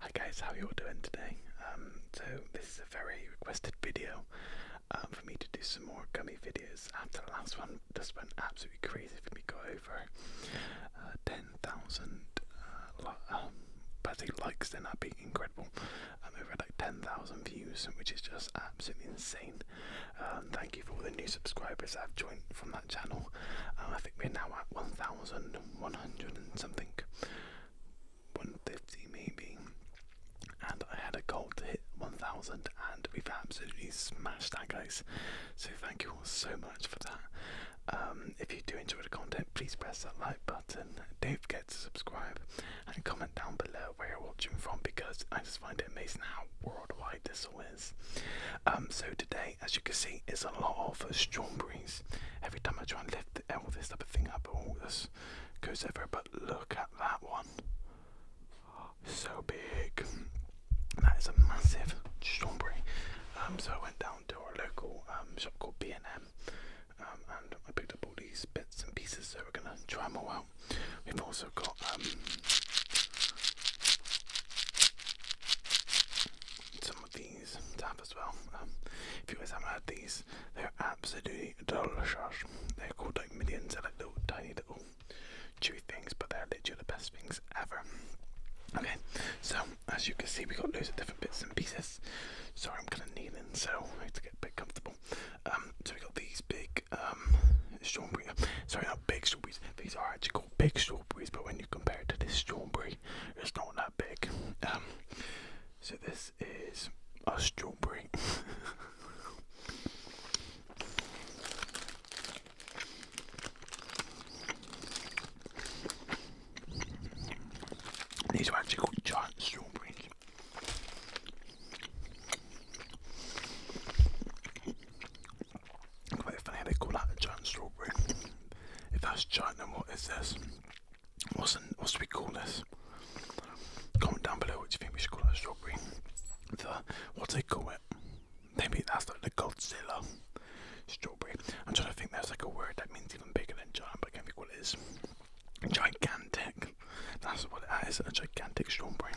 Hi guys, how you all doing today? Um, so this is a very requested video um, for me to do some more gummy videos after the last one this went absolutely crazy for me, got over uh, 10,000 uh, um, basically likes then that'd be incredible. have um, over like 10,000 views which is just absolutely insane. thank you for all the new subscribers that have joined from that channel. I think we're now at 1,000 100 and something, 150 maybe. And I had a goal to hit 1000, and we've absolutely smashed that, guys. So, thank you all so much for that. Um, if you do enjoy the content, please press that like button. Don't forget to subscribe and comment down below where you're watching from because I just find it amazing how worldwide this all is. Um, so, today as you can see, it's a lot of uh, strawberries. Every time I try and lift all this type of thing up, all this goes everywhere. But look at that one. So big. That is a massive strawberry. Um, so I went down to a local um, shop called B&M um, and I picked up all these bits and pieces so we're going to try them all out. We've also got um, some these to as well. Um, if you guys haven't had these, they're absolutely delicious. They're called like millions, they're like little tiny little chewy things, but they're literally the best things ever. Okay, so as you can see, we got loads of different bits and pieces. Sorry, I'm kind of kneeling, so I need to get a bit comfortable. Um, so we got these big um, strawberry, sorry, not big these are actually called big strawberries, but when you compare it to this strawberry, it's not that big. Um, so this is a strawberry. These are actually called giant strawberries. Quite funny they call that a giant strawberry. If that's giant, then what is this? What's, an, what should we call this? Comment down below what you think we should call that strawberry. The, what do they call it? Maybe that's like the Godzilla strawberry. I'm trying to think there's like a word that means even bigger than giant, but I can't think what it is. Gigantic. That's what it is, a gigantic strawberry.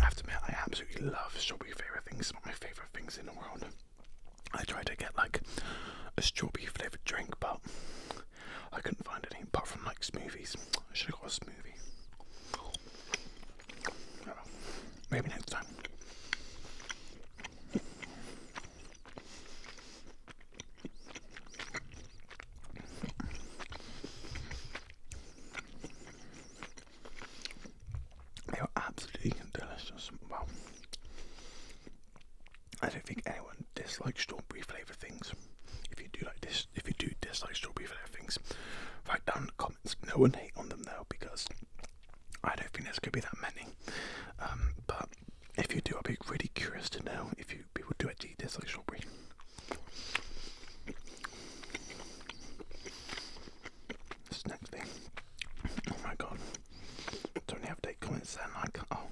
I have I absolutely love strawberry flavour things. It's one of my favourite things in the world. I tried to get like a strawberry flavoured drink, but I couldn't find anything apart from like smoothies. I should have got a smoothie. Oh, maybe next time. They were absolutely delicious. Wow. I don't think anyone dislikes strawberry flavoured things. If you do like this, if you do dislike strawberry flavoured things, write down in the comments. No one hate on them though, because I don't think there's going to be that many. Um, but if you do, I'd be really curious to know if you people do actually dislike strawberry. This next thing. Oh my god. Don't have to take comments and like oh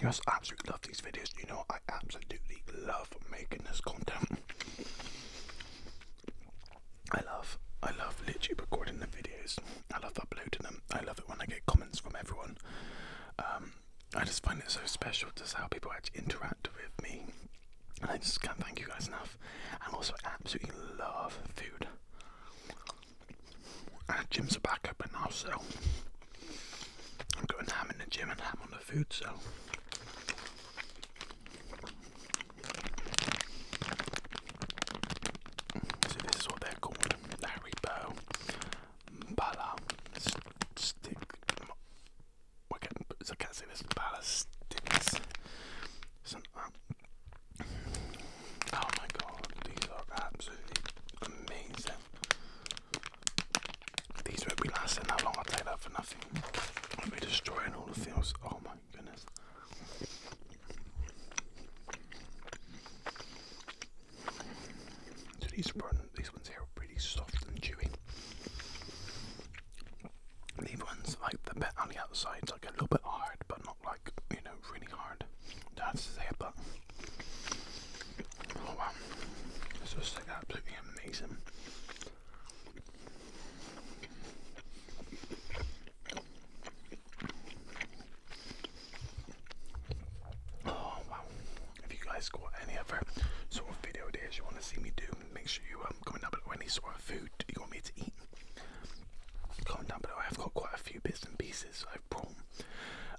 you guys absolutely love these videos. You know I absolutely love making this content. I love I love literally recording the videos. I love uploading them. I love it when I get comments from everyone. Um I just find it so special just how people actually interact with me I just can't thank you guys enough. And also, absolutely love food. And gyms are back open now, so I'm going ham in the gym and ham on the food, so. this is what they're called Haribo Bala Stick we're getting. I can't see this. Palestinians. Some. Um, oh my god, these are absolutely amazing. These won't be lasting that long. i take that for nothing. I'll be destroying all the fields. Oh my goodness. these run these ones here are pretty soft and chewy. These ones, like the bit on the outside's like a little bit hard, but not like you know really hard. That's the say, but oh wow, it's just like absolutely amazing. Oh wow, if you guys got any other sort of video ideas you want to see me do, make sure you um, comment down below any sort of food you want me to eat. Comment down below. I've got quite a few bits and pieces I've brought,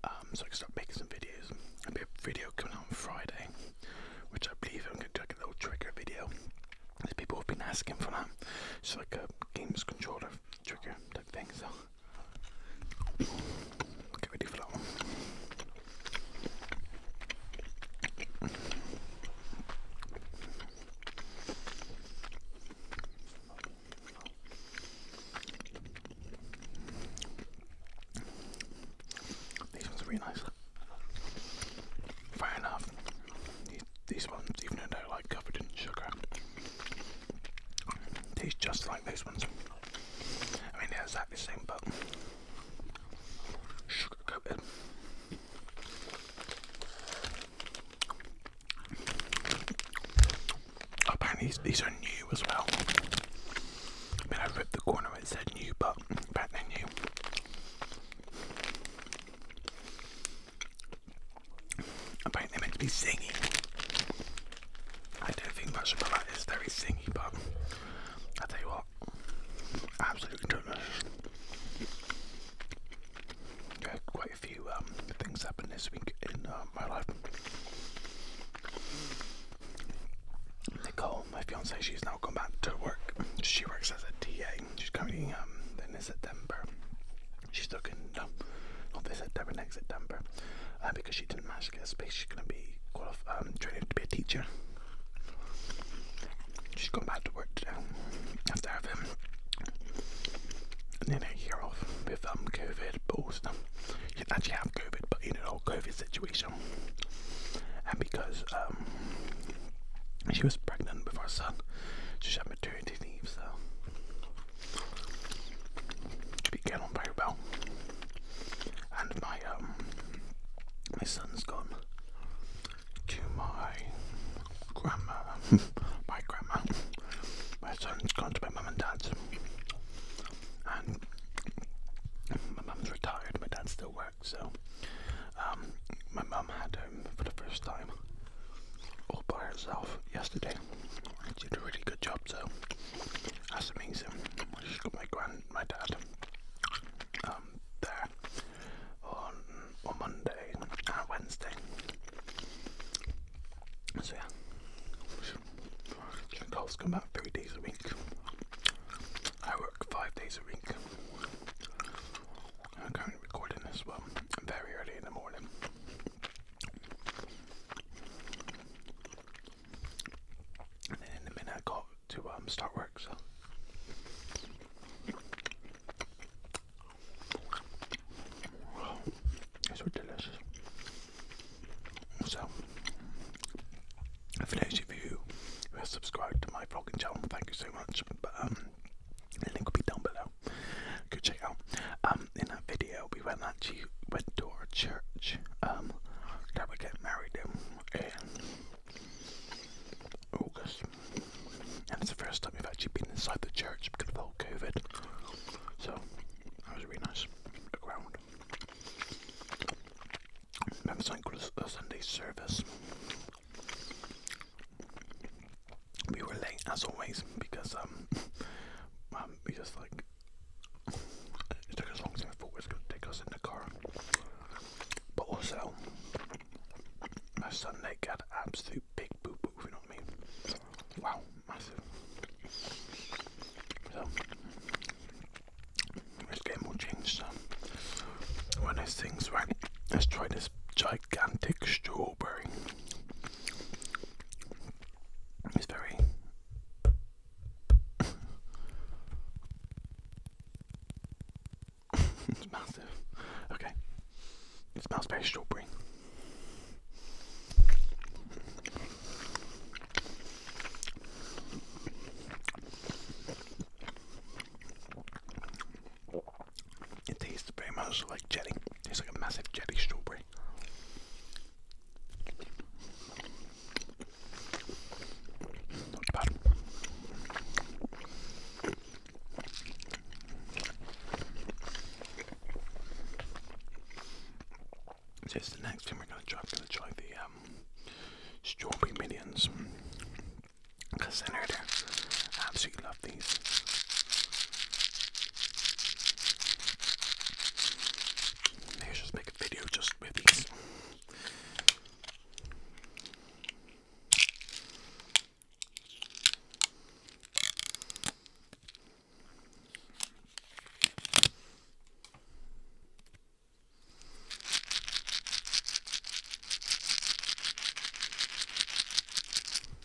um, so I can start making some videos. There'll be a video coming out on Friday, which I believe I'm going to do a little trigger video. As people have been asking for that, it's like a games controller trigger type thing. So. Get ready for that one. These ones are really nice. Fair enough. These, these ones, even though they're like covered in sugar, taste just like those ones. I mean, they're exactly the same, but sugar coated. Apparently, these, are new as well. I mean, I ripped the corner, it said new, but apparently, new. Apparently, they meant to be singing. I don't think much about that. It's very thingy, but I tell you what, absolutely delicious. Yeah, quite a few um, things happened this week in uh, my life. Nicole, my fiance, she's now gone back to work. She works as a TA. She's coming um, in September. She's looking no, not this September, next September, uh, because she didn't match she gets she's going to be um, training to be a teacher. She's going back to work today after having nearly a year off with um, COVID, but also she actually have COVID, but in an old COVID situation. And because um, she was pregnant with our son, she had maternity leave, so began on very well. And my um, my son's gone to my grandma my grandma. My son's gone to my mum and dad's and my mum's retired, my dad still works, so um, my mum had home for the first time all by herself yesterday. I did a really good job, so that's amazing. I just got my grand, my dad, um, there on on Monday and uh, Wednesday. So yeah, Nicole's come out three days a week. I work five days a week. I'm currently recording this one very early in the morning. And then in the minute I got to um, start work, so. Wow, these So, for those of you who have subscribed to my vlogging channel, thank you so much. But um, the link will be down below so go check out. Um, in that video, we went actually went to our church. Um, that we get married in, August, and it's the first time we've actually been inside the church because of all COVID. So that was really nice. The ground. Remember something called a Sunday service we were late as always because um, um we just like it took us long as I thought it was gonna take us in the car. But also my son Nick had absolute big boo boo, you know what I mean? Wow, massive. So this game will change um, one of those things right let's try this gigantic strawberry it's very. it's massive. Okay. It smells very strawberry. It tastes very much like jelly. Tastes like a massive jelly strawberry. Not bad. the next thing we're gonna try. I'm gonna try the um, strawberry millions. Cause I know I absolutely love these. Maybe just make a video just with these.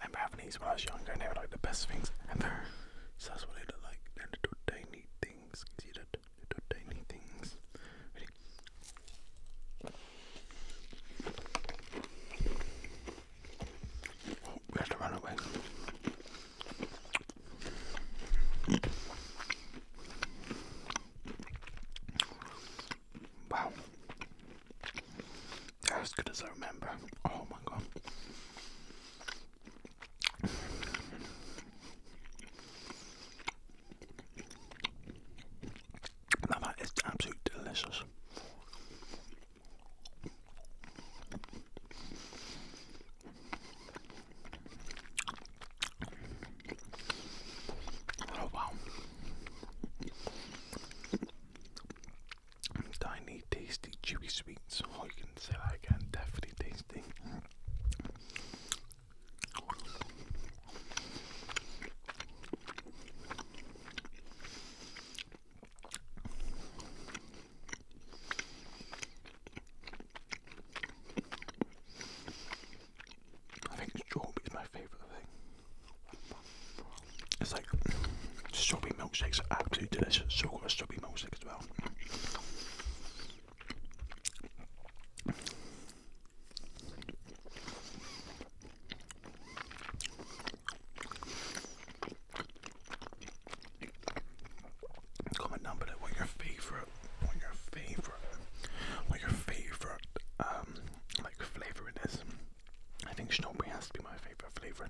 I remember these when I was younger and they were like the best things ever. So that's what they look like. They're little tiny things. Little tiny things. we have to run away. Wow. They're as good as I remember. Oh my god. that is absolutely delicious. Oh wow. Tiny, tasty, chewy sweets. Oh, you can say that again. Definitely tasty. I think strawberry is my favourite thing. It's like strawberry milkshakes are absolutely delicious. So got a strawberry milkshake as well. Comment down below what your favorite, what your favorite, what your favorite, um, like flavoring is. I think strawberry has to be my favorite flavor.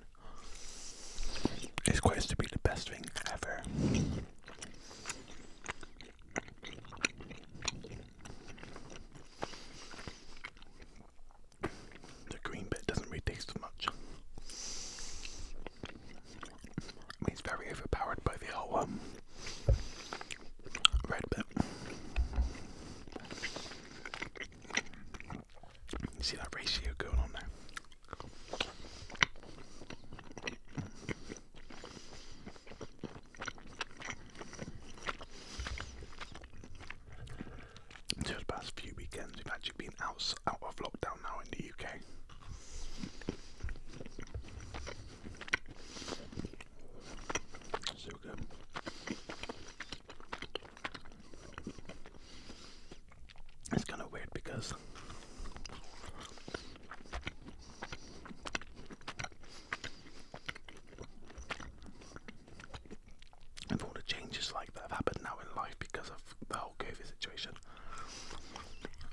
It's quite to be the best thing ever. The green bit doesn't really taste much. He's very overpowered by the whole um, red bit. see that ratio going on there? Just past few weekends, we've out, of lockdown now in the UK. It's kind of weird because of all the changes like that have happened now in life because of the whole COVID situation.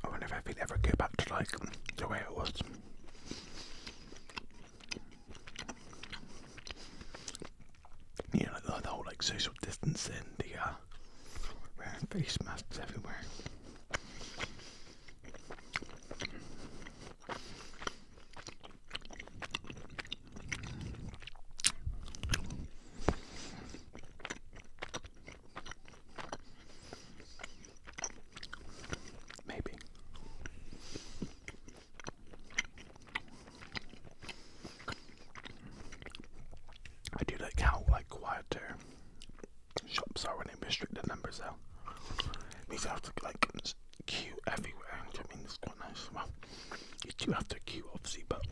I wonder if I could ever go back to like the way it was. Yeah, like the whole like social distancing, the uh, wearing face masks everywhere. Maybe. I do like how like quieter shops are when they restrict the numbers out. These have to like queue everywhere. I mean, it's quite nice. You do have to queue, obviously, but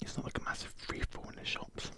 it's not like a massive free for all in the shops.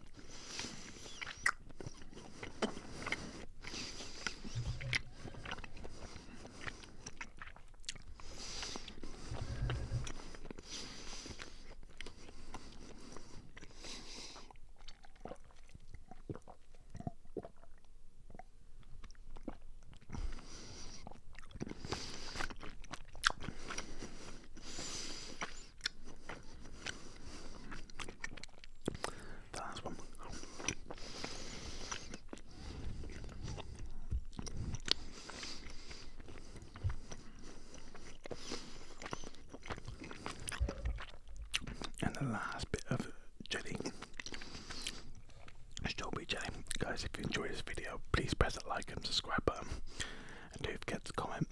And the last bit of jelly still BJ. Guys, if you enjoyed this video, please press that like and subscribe button. And don't forget to comment.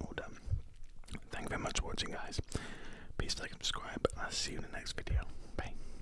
All done. Thank you very much for watching, guys. Please like and subscribe, and I'll see you in the next video. Bye.